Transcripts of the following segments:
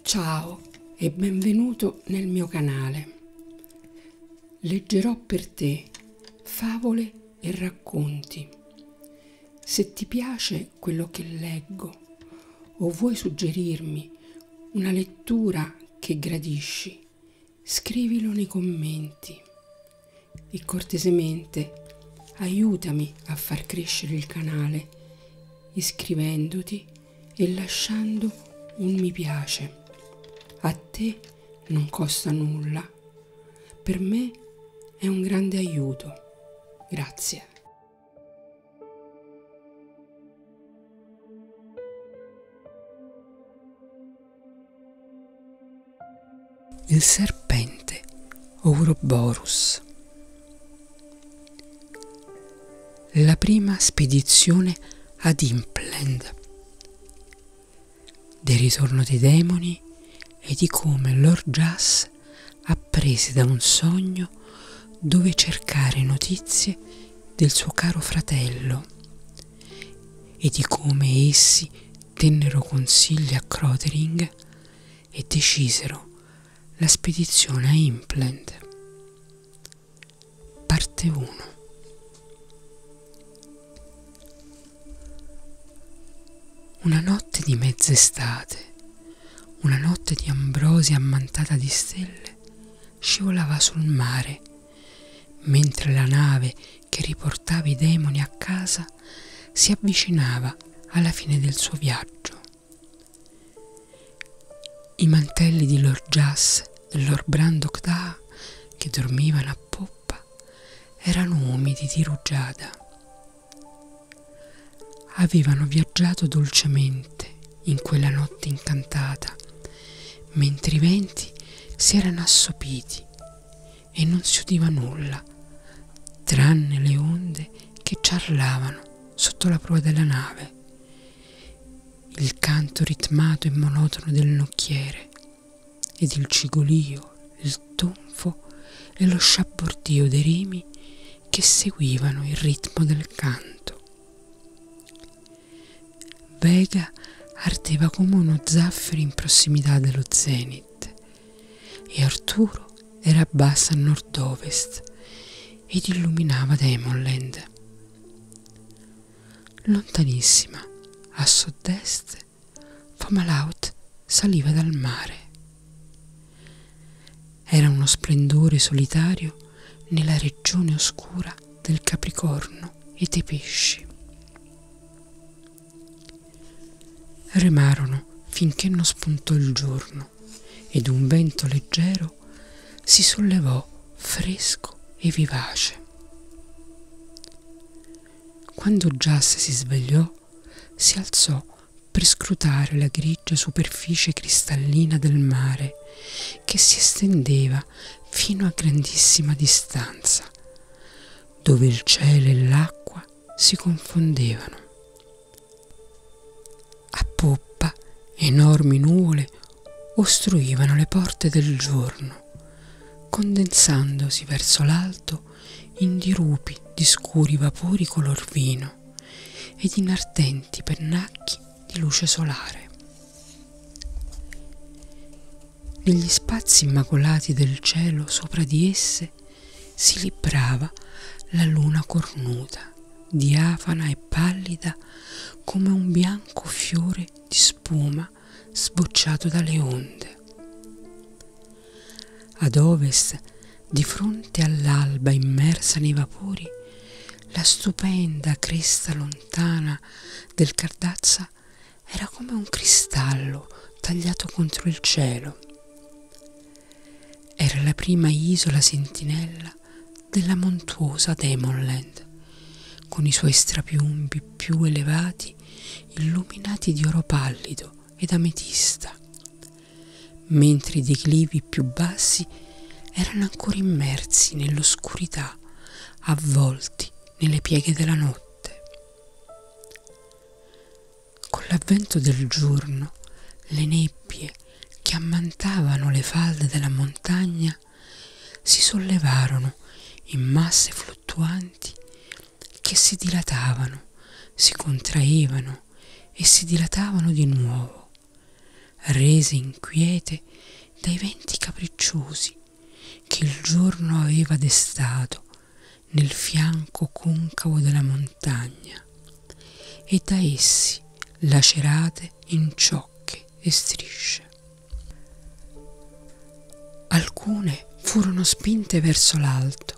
Ciao e benvenuto nel mio canale. Leggerò per te favole e racconti. Se ti piace quello che leggo o vuoi suggerirmi una lettura che gradisci, scrivilo nei commenti e cortesemente aiutami a far crescere il canale iscrivendoti e lasciando un mi piace. A te non costa nulla, per me è un grande aiuto. Grazie il serpente Ouroboros. La prima spedizione ad Impland, del ritorno dei demoni e di come Lord Jas apprese da un sogno dove cercare notizie del suo caro fratello e di come essi tennero consigli a Crotering e decisero la spedizione a Implant. Parte 1 Una notte di mezz'estate, una notte di ambrosia ammantata di stelle, scivolava sul mare, mentre la nave che riportava i demoni a casa si avvicinava alla fine del suo viaggio. I mantelli di Lord Jas e Lord Brandok Da, che dormivano a poppa, erano umidi di rugiada. Avevano viaggiato dolcemente in quella notte incantata, mentre i venti si erano assopiti e non si udiva nulla, tranne le onde che ciarlavano sotto la prua della nave, il canto ritmato e monotono del nocchiere ed il cigolio, il tonfo e lo sciabordio dei rimi che seguivano il ritmo del canto. Vega ardeva come uno zaffiro in prossimità dello zenit e Arturo era bassa a nord-ovest ed illuminava Demonland. Lontanissima, a sud-est, Famalaut saliva dal mare. Era uno splendore solitario nella regione oscura del Capricorno e dei pesci. Remarono finché non spuntò il giorno ed un vento leggero si sollevò fresco e vivace. Quando Giasse si svegliò, si alzò per scrutare la grigia superficie cristallina del mare che si estendeva fino a grandissima distanza, dove il cielo e l'acqua si confondevano. A poppa enormi nuvole ostruivano le porte del giorno, condensandosi verso l'alto in dirupi di scuri vapori color vino ed in ardenti pennacchi di luce solare. Negli spazi immacolati del cielo sopra di esse si librava la luna cornuta, diafana e pallida come un bianco fiore di spuma sbocciato dalle onde. Ad ovest, di fronte all'alba immersa nei vapori, la stupenda cresta lontana del Cardazza era come un cristallo tagliato contro il cielo. Era la prima isola sentinella della montuosa Demonland, con i suoi strapiombi più elevati illuminati di oro pallido ed ametista, mentre i declivi più bassi erano ancora immersi nell'oscurità, avvolti nelle pieghe della notte. Con l'avvento del giorno, le nebbie che ammantavano le falde della montagna si sollevarono in masse fluttuanti che si dilatavano, si contraevano e si dilatavano di nuovo, rese inquiete dai venti capricciosi che il giorno aveva destato nel fianco concavo della montagna e da essi lacerate in ciocche e strisce. Alcune furono spinte verso l'alto,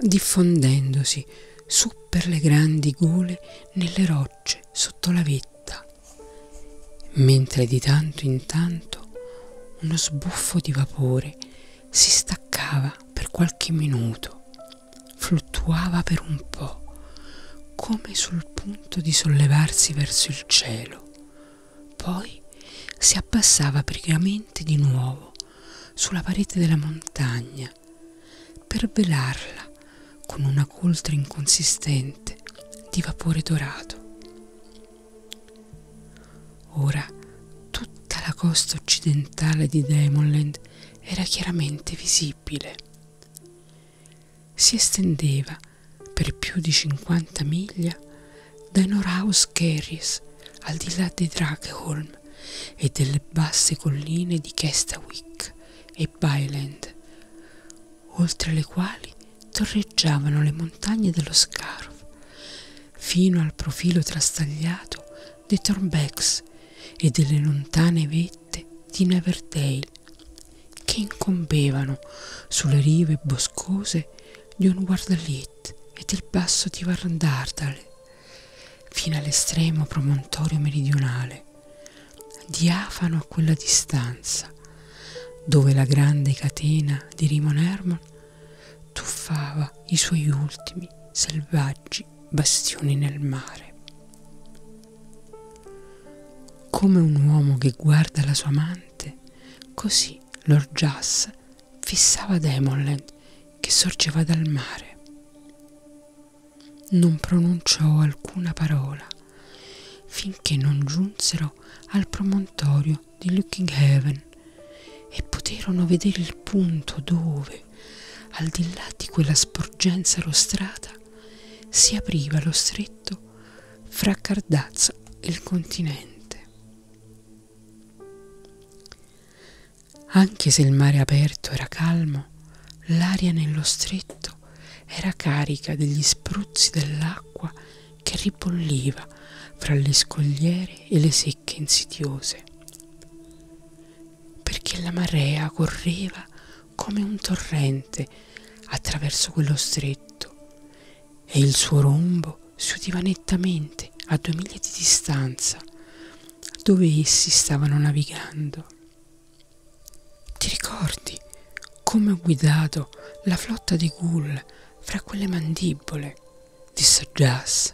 diffondendosi su per le grandi gole nelle rocce sotto la vetta, mentre di tanto in tanto uno sbuffo di vapore si staccava per qualche minuto, fluttuava per un po', come sul punto di sollevarsi verso il cielo, poi si abbassava pregamente di nuovo sulla parete della montagna per velarla con una coltre inconsistente di vapore dorato. Ora tutta la costa occidentale di Demonland era chiaramente visibile. Si estendeva per più di 50 miglia da Norhaus Gerries al di là di Drakeholm e delle basse colline di Kestawick e Byland, oltre le quali torreggiavano le montagne dello Scarf, fino al profilo trastagliato di Thornbecks e delle lontane vette di Neverdale che incombevano sulle rive boscose di un guardalit e del basso di Varandardale fino all'estremo promontorio meridionale, diafano a quella distanza, dove la grande catena di Rimon Hermon tuffava i suoi ultimi selvaggi bastioni nel mare. Come un uomo che guarda la sua amante, così Lord Jas fissava Demonland che sorgeva dal mare. Non pronunciò alcuna parola finché non giunsero al promontorio di Looking Heaven e poterono vedere il punto dove, al di là di quella sporgenza rostrata, si apriva lo stretto fra Cardazza e il continente. Anche se il mare aperto era calmo, l'aria nello stretto era carica degli spruzzi dell'acqua che ribolliva fra le scogliere e le secche insidiose perché la marea correva come un torrente attraverso quello stretto e il suo rombo si udiva nettamente a due miglia di distanza dove essi stavano navigando. Ti ricordi come ho guidato la flotta di ghoul fra quelle mandibole? disse Jas.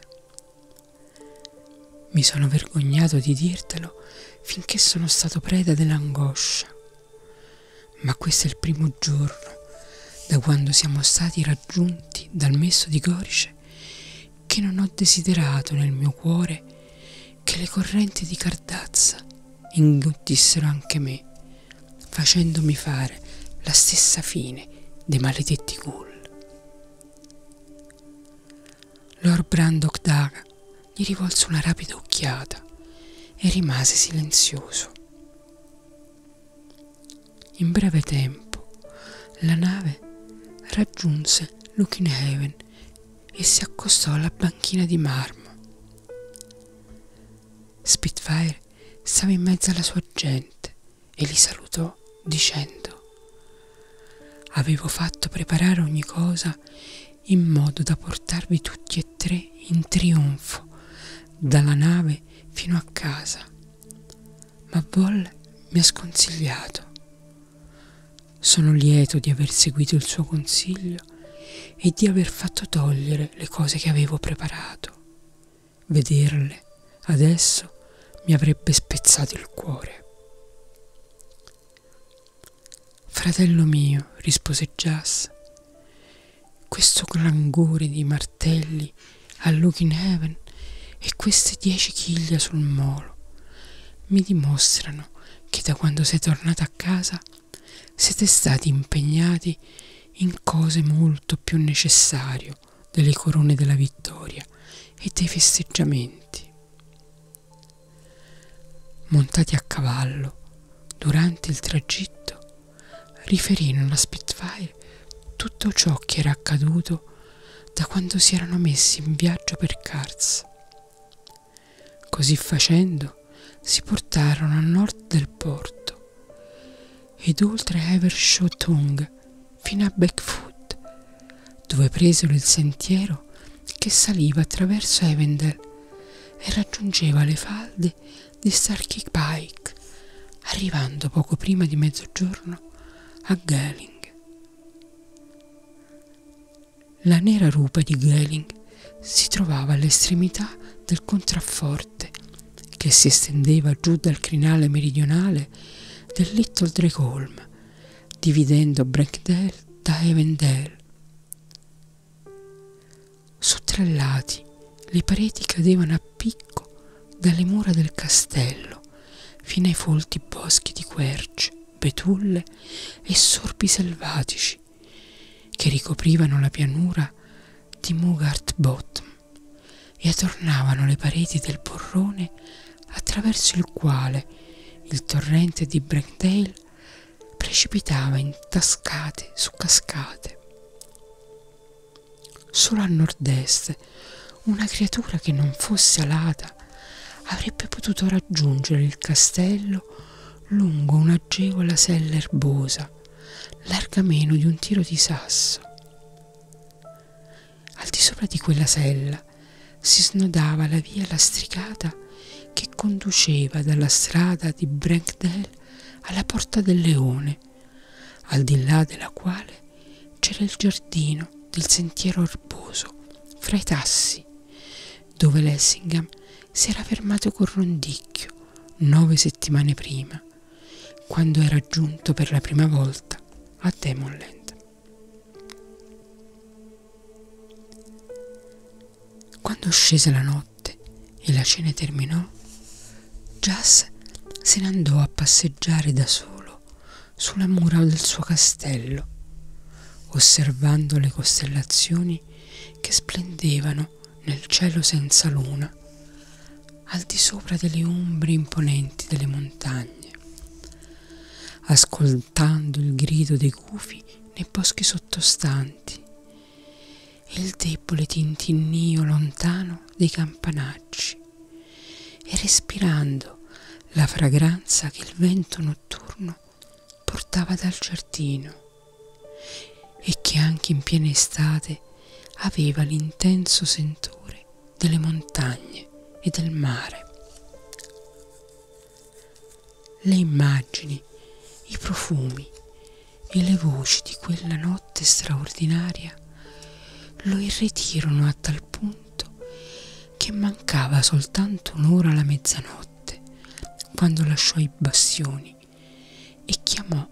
Mi sono vergognato di dirtelo finché sono stato preda dell'angoscia, ma questo è il primo giorno da quando siamo stati raggiunti dal messo di Gorice che non ho desiderato nel mio cuore che le correnti di cardazza inghiottissero anche me, facendomi fare la stessa fine dei maledetti ghoul. Lord Brandok Daga gli rivolse una rapida occhiata e rimase silenzioso. In breve tempo la nave raggiunse Lukinhaven e si accostò alla banchina di marmo. Spitfire stava in mezzo alla sua gente e li salutò dicendo Avevo fatto preparare ogni cosa in modo da portarvi tutti e tre in trionfo dalla nave fino a casa, ma Boll mi ha sconsigliato. Sono lieto di aver seguito il suo consiglio e di aver fatto togliere le cose che avevo preparato. Vederle adesso mi avrebbe spezzato il cuore. Fratello mio, rispose Jas, questo languore di martelli a Look in Heaven e queste dieci chiglia sul molo mi dimostrano che da quando sei tornata a casa siete stati impegnati in cose molto più necessarie l'orgoglio delle corone della vittoria e dei festeggiamenti. Montati a cavallo durante il tragitto, riferirono a Spitfire tutto ciò che era accaduto da quando si erano messi in viaggio per Kars. Così facendo si portarono a nord del porto ed oltre Evershaw Tongue fino a Blackfoot, dove presero il sentiero che saliva attraverso Avendel e raggiungeva le falde di Starkey Pike, arrivando poco prima di mezzogiorno a Galing. La nera rupa di Galing si trovava all'estremità del contrafforte che si estendeva giù dal crinale meridionale del Little Drakeholm dividendo Breakdale da Evendale. Su tre lati le pareti cadevano a picco dalle mura del castello fino ai folti boschi di querce, betulle e sorpi selvatici che ricoprivano la pianura di Mugart Bottom e adornavano le pareti del porrone attraverso il quale il torrente di Brentdale precipitava in cascate su cascate. Solo a nord-est una creatura che non fosse alata avrebbe potuto raggiungere il castello lungo un'agevola sella erbosa, larga meno di un tiro di sasso. Al di sopra di quella sella si snodava la via lastricata che conduceva dalla strada di Brenkdale alla Porta del Leone, al di là della quale c'era il giardino del sentiero erboso fra i tassi, dove Lessingham si era fermato col rondicchio nove settimane prima, quando era giunto per la prima volta a Demonland. Quando scese la notte e la cena terminò, Jas se ne andò a passeggiare da solo sulla mura del suo castello, osservando le costellazioni che splendevano nel cielo senza luna, al di sopra delle ombre imponenti delle montagne, ascoltando il grido dei gufi nei boschi sottostanti e il debole tintinnio lontano dei campanacci e respirando la fragranza che il vento notturno portava dal giardino e che anche in piena estate aveva l'intenso sentore delle montagne e del mare. Le immagini, i profumi e le voci di quella notte straordinaria lo irretirono a tal punto che mancava soltanto un'ora alla mezzanotte quando lasciò i bastioni e chiamò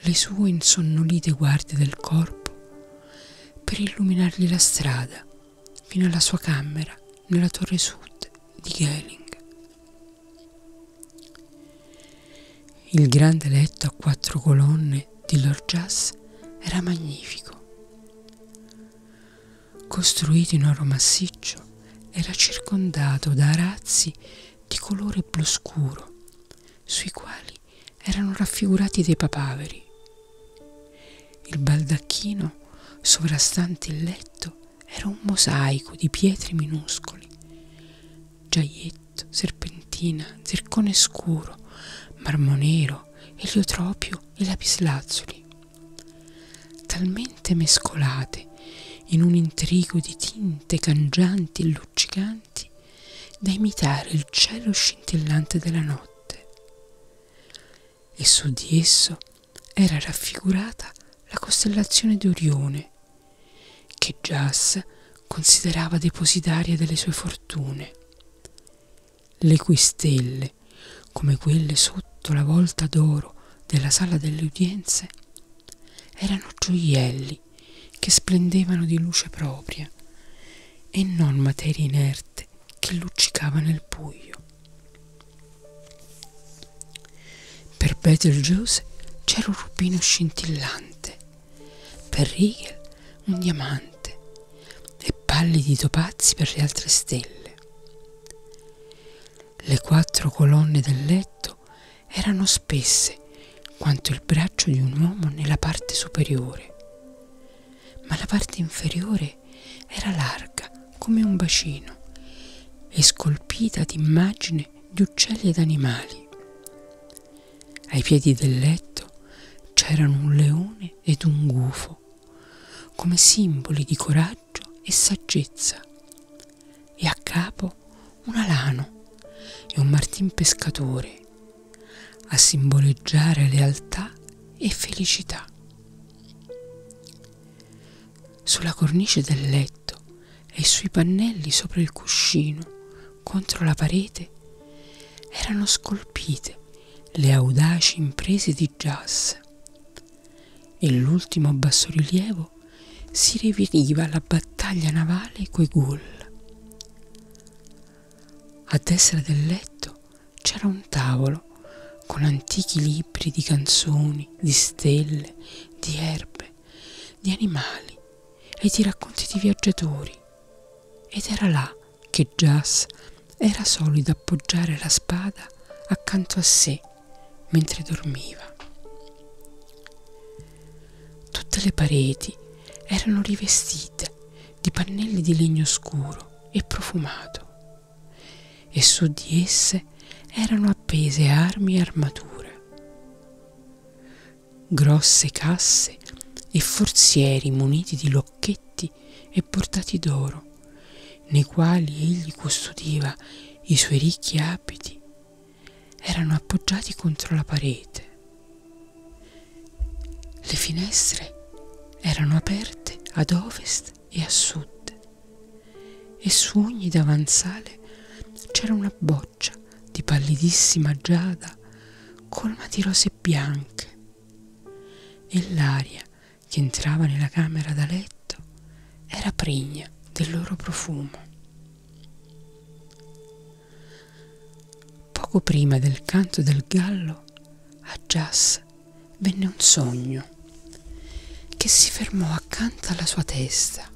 le sue insonnolite guardie del corpo per illuminargli la strada fino alla sua camera nella torre sud di Gehling. Il grande letto a quattro colonne di Lord Jas era magnifico. Costruito in oro massiccio, era circondato da arazzi di colore blu scuro, sui quali erano raffigurati dei papaveri. Il baldacchino sovrastante il letto era un mosaico di pietre minuscoli, giaietto, serpentina, zircone scuro, marmo nero, eliotropio e lapislazzuli, talmente mescolate in un intrigo di tinte cangianti e luccicanti da imitare il cielo scintillante della notte e su di esso era raffigurata la costellazione di Orione, che Giace considerava depositaria delle sue fortune, le cui stelle, come quelle sotto la volta d'oro della sala delle udienze, erano gioielli che splendevano di luce propria e non materia inerte che luccicava nel buio. Per Betelgeuse c'era un rubino scintillante, per Riegel un diamante e pallidi topazzi per le altre stelle. Le quattro colonne del letto erano spesse quanto il braccio di un uomo nella parte superiore ma la parte inferiore era larga come un bacino e scolpita di immagini di uccelli ed animali. Ai piedi del letto c'erano un leone ed un gufo, come simboli di coraggio e saggezza, e a capo un alano e un martin pescatore a simboleggiare lealtà e felicità. Sulla cornice del letto e sui pannelli sopra il cuscino, contro la parete, erano scolpite le audaci imprese di Giasse e l'ultimo bassorilievo si riveniva la battaglia navale coi ghoul. A destra del letto c'era un tavolo con antichi libri di canzoni, di stelle, di erbe, di animali e di racconti di viaggiatori. Ed era là che Jas era solito appoggiare la spada accanto a sé mentre dormiva. Tutte le pareti erano rivestite di pannelli di legno scuro e profumato e su di esse erano appese armi e armature, grosse casse e forzieri muniti di locchetti e bordati d'oro, nei quali egli custodiva i suoi ricchi abiti, erano appoggiati contro la parete le finestre erano aperte ad ovest e a sud e su ogni davanzale c'era una boccia di pallidissima giada colma di rose bianche e l'aria che entrava nella camera da letto era pregna del loro profumo. Poco prima del canto del gallo, a Jas venne un sogno che si fermò accanto alla sua testa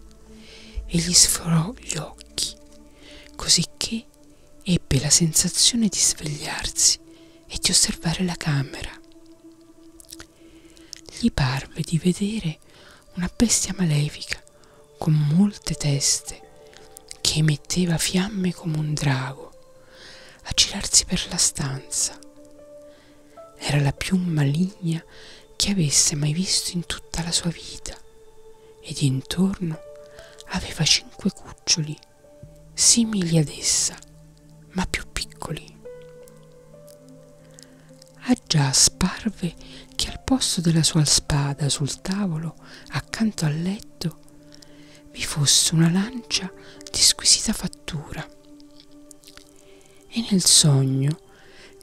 e gli sforò gli occhi, cosicché ebbe la sensazione di svegliarsi e di osservare la camera. Gli parve di vedere una bestia malefica con molte teste che emetteva fiamme come un drago, a girarsi per la stanza. Era la più maligna che avesse mai visto in tutta la sua vita ed intorno aveva cinque cuccioli simili ad essa, ma più piccoli. Aggià ah sparve che al posto della sua spada sul tavolo, accanto al letto, vi fosse una lancia di squisita fattura e nel sogno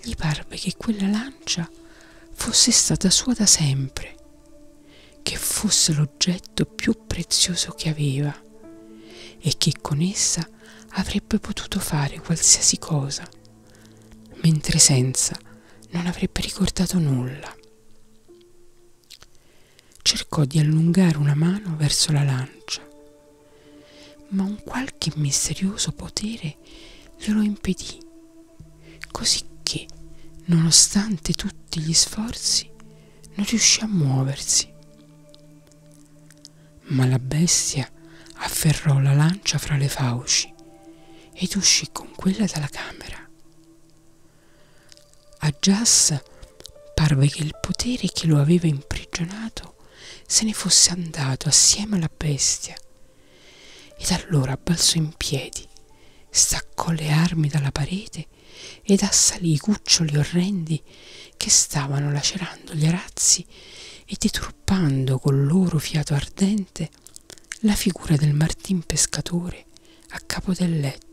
gli parve che quella lancia fosse stata sua da sempre che fosse l'oggetto più prezioso che aveva e che con essa avrebbe potuto fare qualsiasi cosa mentre senza non avrebbe ricordato nulla cercò di allungare una mano verso la lancia, ma un qualche misterioso potere glielo impedì, così che, nonostante tutti gli sforzi, non riuscì a muoversi. Ma la bestia afferrò la lancia fra le fauci ed uscì con quella dalla camera. A Jas parve che il potere che lo aveva imprigionato se ne fosse andato assieme alla bestia ed allora balzò in piedi, staccò le armi dalla parete ed assalì i cuccioli orrendi che stavano lacerando gli arazzi e deturpando col loro fiato ardente la figura del martin pescatore a capo del letto.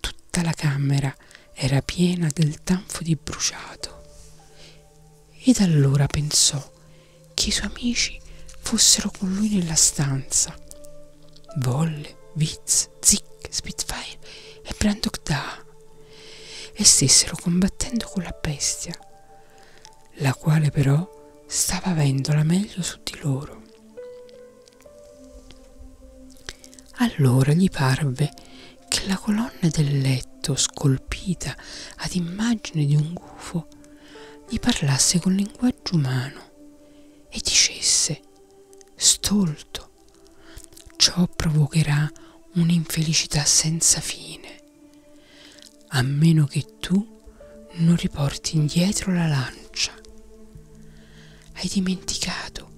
Tutta la camera era piena del tanfo di bruciato ed allora pensò che i suoi amici fossero con lui nella stanza. Volle, Viz, Zick, Spitfire e Brandok Da e stessero combattendo con la bestia, la quale però stava avendo la meglio su di loro. Allora gli parve che la colonna del letto, scolpita ad immagine di un gufo, gli parlasse col linguaggio umano e dicesse, stolto, ciò provocherà un'infelicità senza fine, a meno che tu non riporti indietro la lancia. Hai dimenticato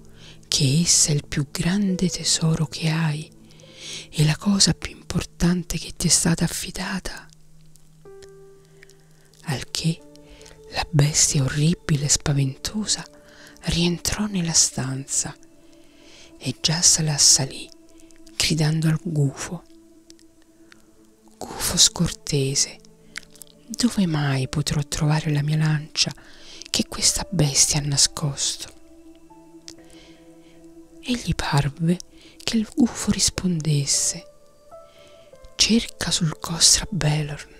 che essa è il più grande tesoro che hai e la cosa più importante che ti è stata affidata. Al che la bestia orribile e spaventosa rientrò nella stanza e già se la assalì gridando al gufo gufo scortese dove mai potrò trovare la mia lancia che questa bestia ha nascosto e gli parve che il gufo rispondesse cerca sul Costra Belorn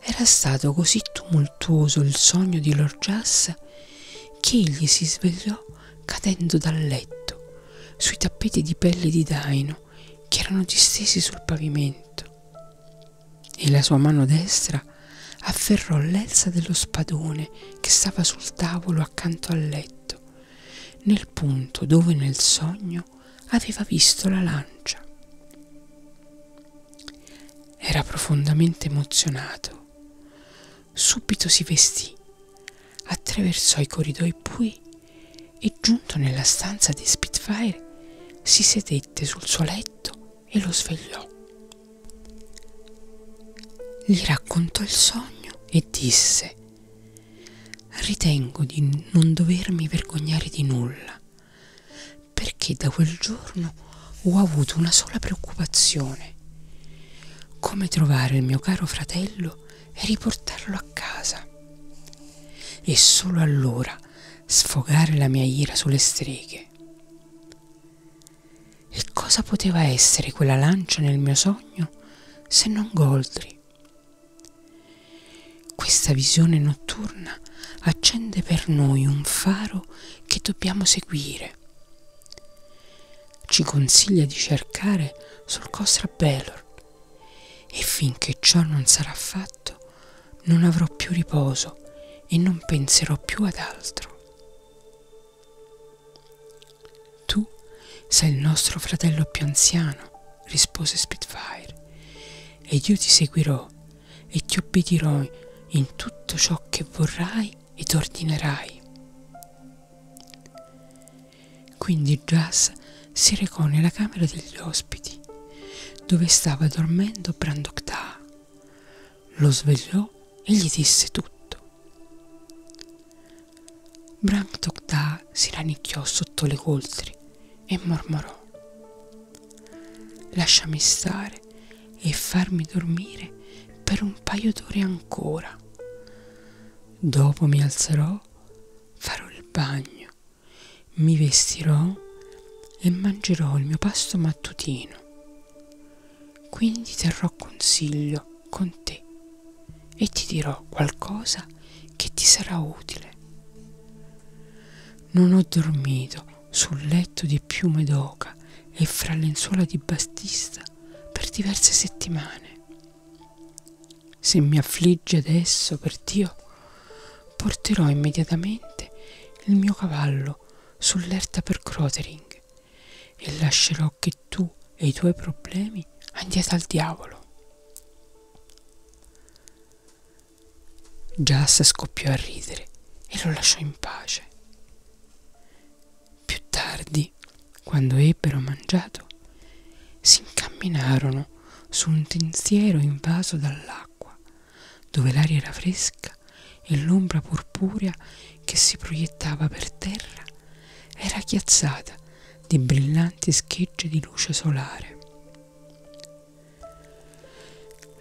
era stato così tumultuoso il sogno di Lord Jas che egli si svegliò cadendo dal letto sui tappeti di pelle di daino che erano distesi sul pavimento e la sua mano destra afferrò l'elsa dello spadone che stava sul tavolo accanto al letto, nel punto dove nel sogno aveva visto la lancia. Era profondamente emozionato. Subito si vestì, attraversò i corridoi bui e giunto nella stanza di Spitfire si sedette sul suo letto e lo svegliò. Gli raccontò il sogno e disse Ritengo di non dovermi vergognare di nulla, perché da quel giorno ho avuto una sola preoccupazione, come trovare il mio caro fratello e riportarlo a casa. E solo allora sfogare la mia ira sulle streghe. E cosa poteva essere quella lancia nel mio sogno se non Goldri? Questa visione notturna accende per noi un faro che dobbiamo seguire. Ci consiglia di cercare sul Costa Bellord e finché ciò non sarà fatto, non avrò più riposo e non penserò più ad altro. Tu sei il nostro fratello più anziano, rispose Spitfire, ed io ti seguirò e ti obbedirò in tutto ciò che vorrai ed ordinerai. Quindi Jas si recò nella camera degli ospiti, dove stava dormendo Brandok Ta. Lo svegliò e gli disse tutto. Brandok Ta si ranicchiò sotto le coltri e mormorò. Lasciami stare e farmi dormire per un paio d'ore ancora. Dopo mi alzerò laverò, farò il bagno, mi vestirò e mangerò il mio pasto mattutino. Quindi terrò consiglio con te e ti dirò qualcosa che ti sarà utile. Non ho dormito sul letto di piume d'oca e fra lenzuola di bastista per diverse settimane. Se mi affligge adesso per Dio, porterò immediatamente il mio cavallo sull'erta per Crotering e lascerò che tu e i tuoi problemi andiate al diavolo. Jas scoppiò a ridere e lo lasciò in pace. Più tardi quando ebbero mangiato, si incamminarono su un tensiero invaso dall'acqua, dove l'aria era fresca e l'ombra purpurea che si proiettava per terra era chiazzata di brillanti schegge di luce solare.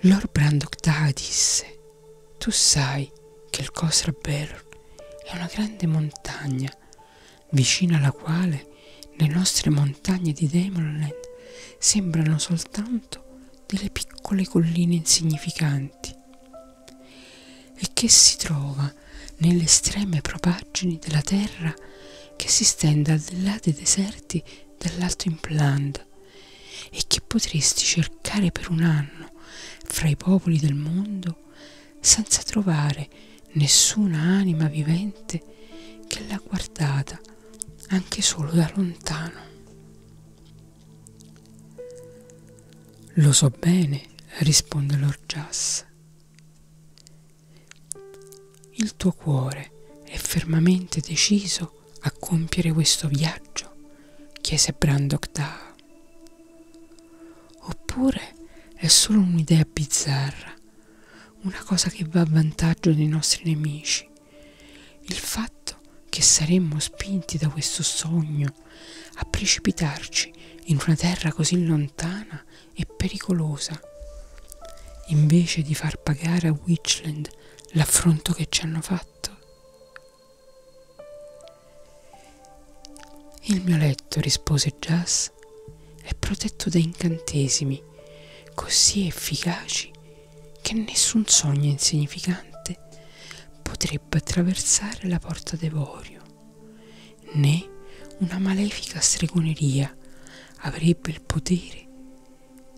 Lord Brandok Taha disse: Tu sai che il Khosra Berr è una grande montagna vicino alla quale le nostre montagne di Demonland sembrano soltanto delle piccole colline insignificanti e che si trova nelle estreme propaggini della terra che si stende al di là dei deserti dell'alto implanda e che potresti cercare per un anno fra i popoli del mondo senza trovare nessuna anima vivente che l'ha guardata anche solo da lontano. Lo so bene, risponde l'orgias. Il tuo cuore è fermamente deciso a compiere questo viaggio, chiese Brandok Da. Oppure è solo un'idea bizzarra, una cosa che va a vantaggio dei nostri nemici. Il fatto che saremmo spinti da questo sogno a precipitarci in una terra così lontana e pericolosa, invece di far pagare a Witchland l'affronto che ci hanno fatto. Il mio letto, rispose Jas, Gas è protetto da incantesimi così efficaci che nessun sogno insignificante potrebbe attraversare la porta d'Evorio, né una malefica stregoneria avrebbe il potere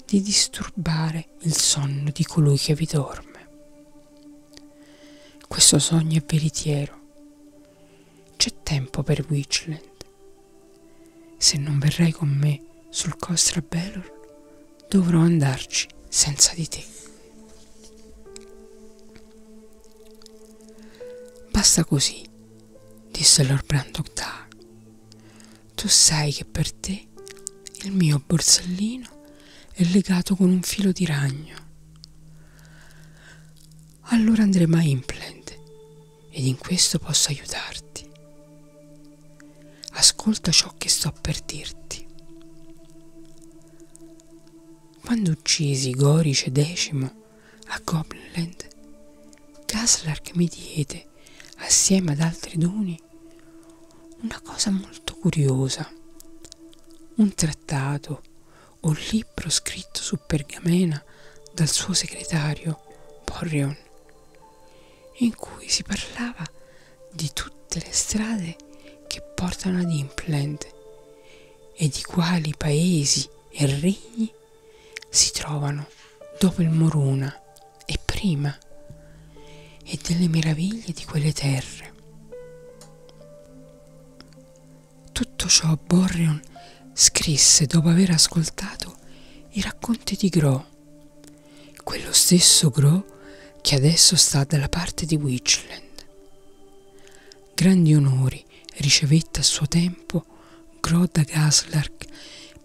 di disturbare il sonno di colui che vi dorme. Questo sogno è veritiero c'è tempo per Witchland. Se non verrai con me sul Costra Belor, dovrò andarci senza di te. Basta così, disse Lord Brandok Tar. Tu sai che per te il mio borsellino è legato con un filo di ragno allora andremo a Implant ed in questo posso aiutarti. Ascolta ciò che sto per dirti. Quando uccisi Gorice X a Goblinland, Gaslark mi diede, assieme ad altri doni, una cosa molto curiosa, un trattato un libro scritto su pergamena dal suo segretario Borrion, in cui si parlava di tutte le strade che portano ad Impland e di quali paesi e regni si trovano dopo il Moruna e prima e delle meraviglie di quelle terre. Tutto ciò Borreon scrisse dopo aver ascoltato i racconti di Gro, quello stesso Gro che adesso sta dalla parte di Witchland. Grandi onori ricevette a suo tempo Gro da Gaslark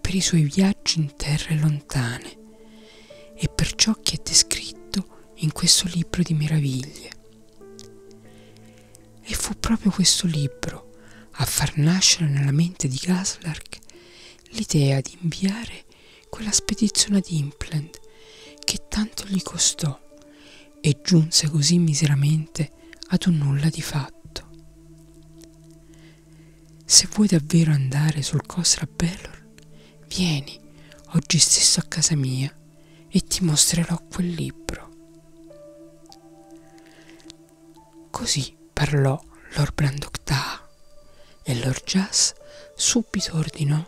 per i suoi viaggi in terre lontane e per ciò che è descritto in questo libro di meraviglie. E fu proprio questo libro a far nascere nella mente di Gaslark l'idea di inviare quella spedizione ad Impland che tanto gli costò e giunse così miseramente ad un nulla di fatto. Se vuoi davvero andare sul Cosra Bellor, vieni oggi stesso a casa mia e ti mostrerò quel libro. Così parlò Lord Brandocta e Lord Jas subito ordinò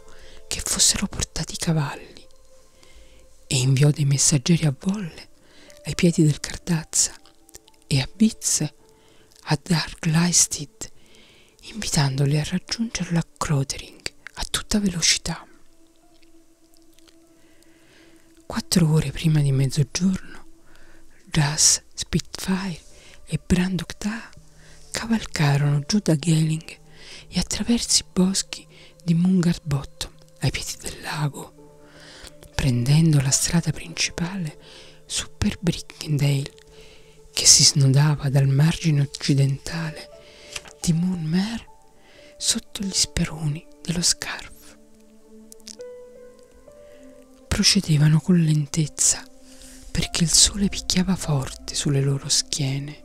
che fossero portati i cavalli e inviò dei messaggeri a Volle ai piedi del Cardazza e a Bizze a Dark Leisted invitandoli a raggiungerla a Crotering a tutta velocità. Quattro ore prima di mezzogiorno, Jas, Spitfire e Brandok Ta cavalcarono giù da Gelling e attraverso i boschi di Mungard Bottom ai piedi del lago, prendendo la strada principale su per Brickendale che si snodava dal margine occidentale di Moonmere sotto gli speroni dello scarfo. Procedevano con lentezza perché il sole picchiava forte sulle loro schiene.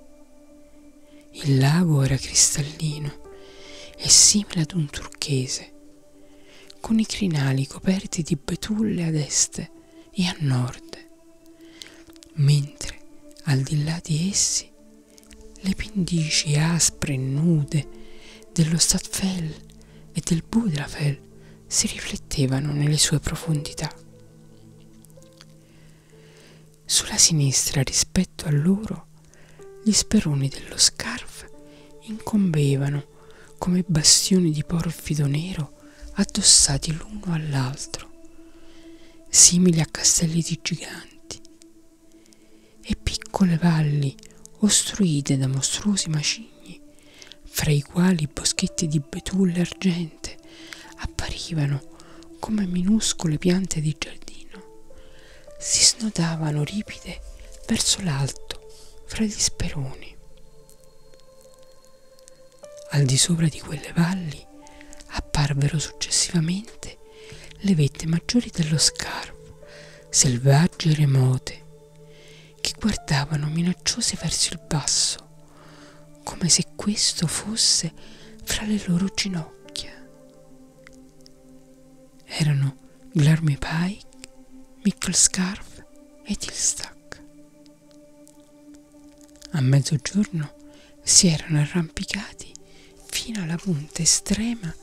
Il lago era cristallino e simile ad un turchese, con i crinali coperti di betulle ad est e a nord, mentre al di là di essi le pendici aspre e nude dello Stadfell e del Budrafell si riflettevano nelle sue profondità. Sulla sinistra rispetto a loro gli speroni dello scarf incombevano come bastioni di porfido nero addossati l'uno all'altro, simili a castelli di giganti e piccole valli ostruite da mostruosi macigni, fra i quali boschetti di betulle argente apparivano come minuscole piante di giardino, si snodavano ripide verso l'alto fra gli speroni. Al di sopra di quelle valli apparvero successivamente le vette maggiori dello scarpo, selvagge e remote, che guardavano minacciose verso il basso, come se questo fosse fra le loro ginocchia. Erano Glarmy Pike, Mickelscarf e Tilstack. A mezzogiorno si erano arrampicati fino alla punta estrema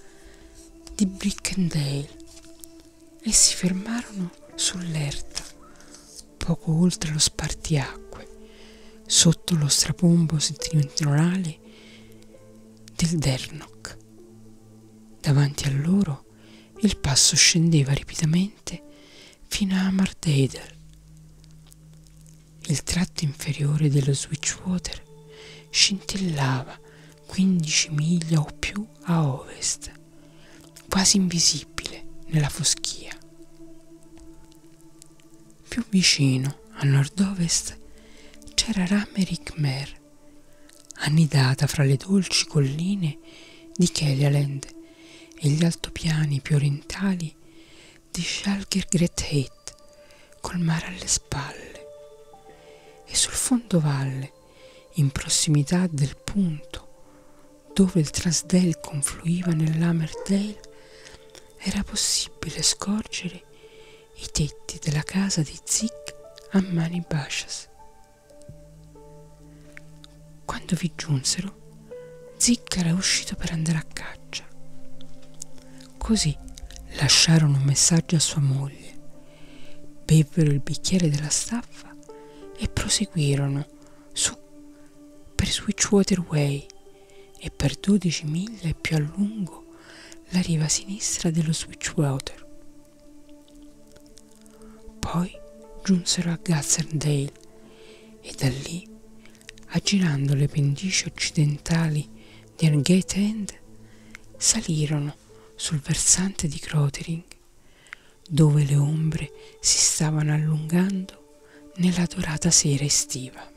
di Brickendale e si fermarono sull'erta, poco oltre lo spartiacque, sotto lo strapombo settentrionale del Dernock. Davanti a loro il passo scendeva ripidamente fino a Martedel. Il tratto inferiore dello Switchwater scintillava 15 miglia o più a ovest, quasi invisibile nella foschia. Più vicino, a nord-ovest, c'era Ramerick Mer, annidata fra le dolci colline di Kelialand e gli altopiani più orientali di Schalker Great Street, col mare alle spalle, e sul fondovalle, in prossimità del punto dove il Trasdale confluiva nell'Hammerdale, era possibile scorgere i tetti della casa di Zick a mani bascias. Quando vi giunsero, Zick era uscito per andare a caccia. Così lasciarono un messaggio a sua moglie, bevvero il bicchiere della staffa e proseguirono su per Switchwater Way e per 12 miglia e più a lungo la riva sinistra dello Switchwater. Poi giunsero a Gazzerdale e da lì, aggirando le pendici occidentali del Gate End salirono sul versante di Grotering, dove le ombre si stavano allungando nella dorata sera estiva.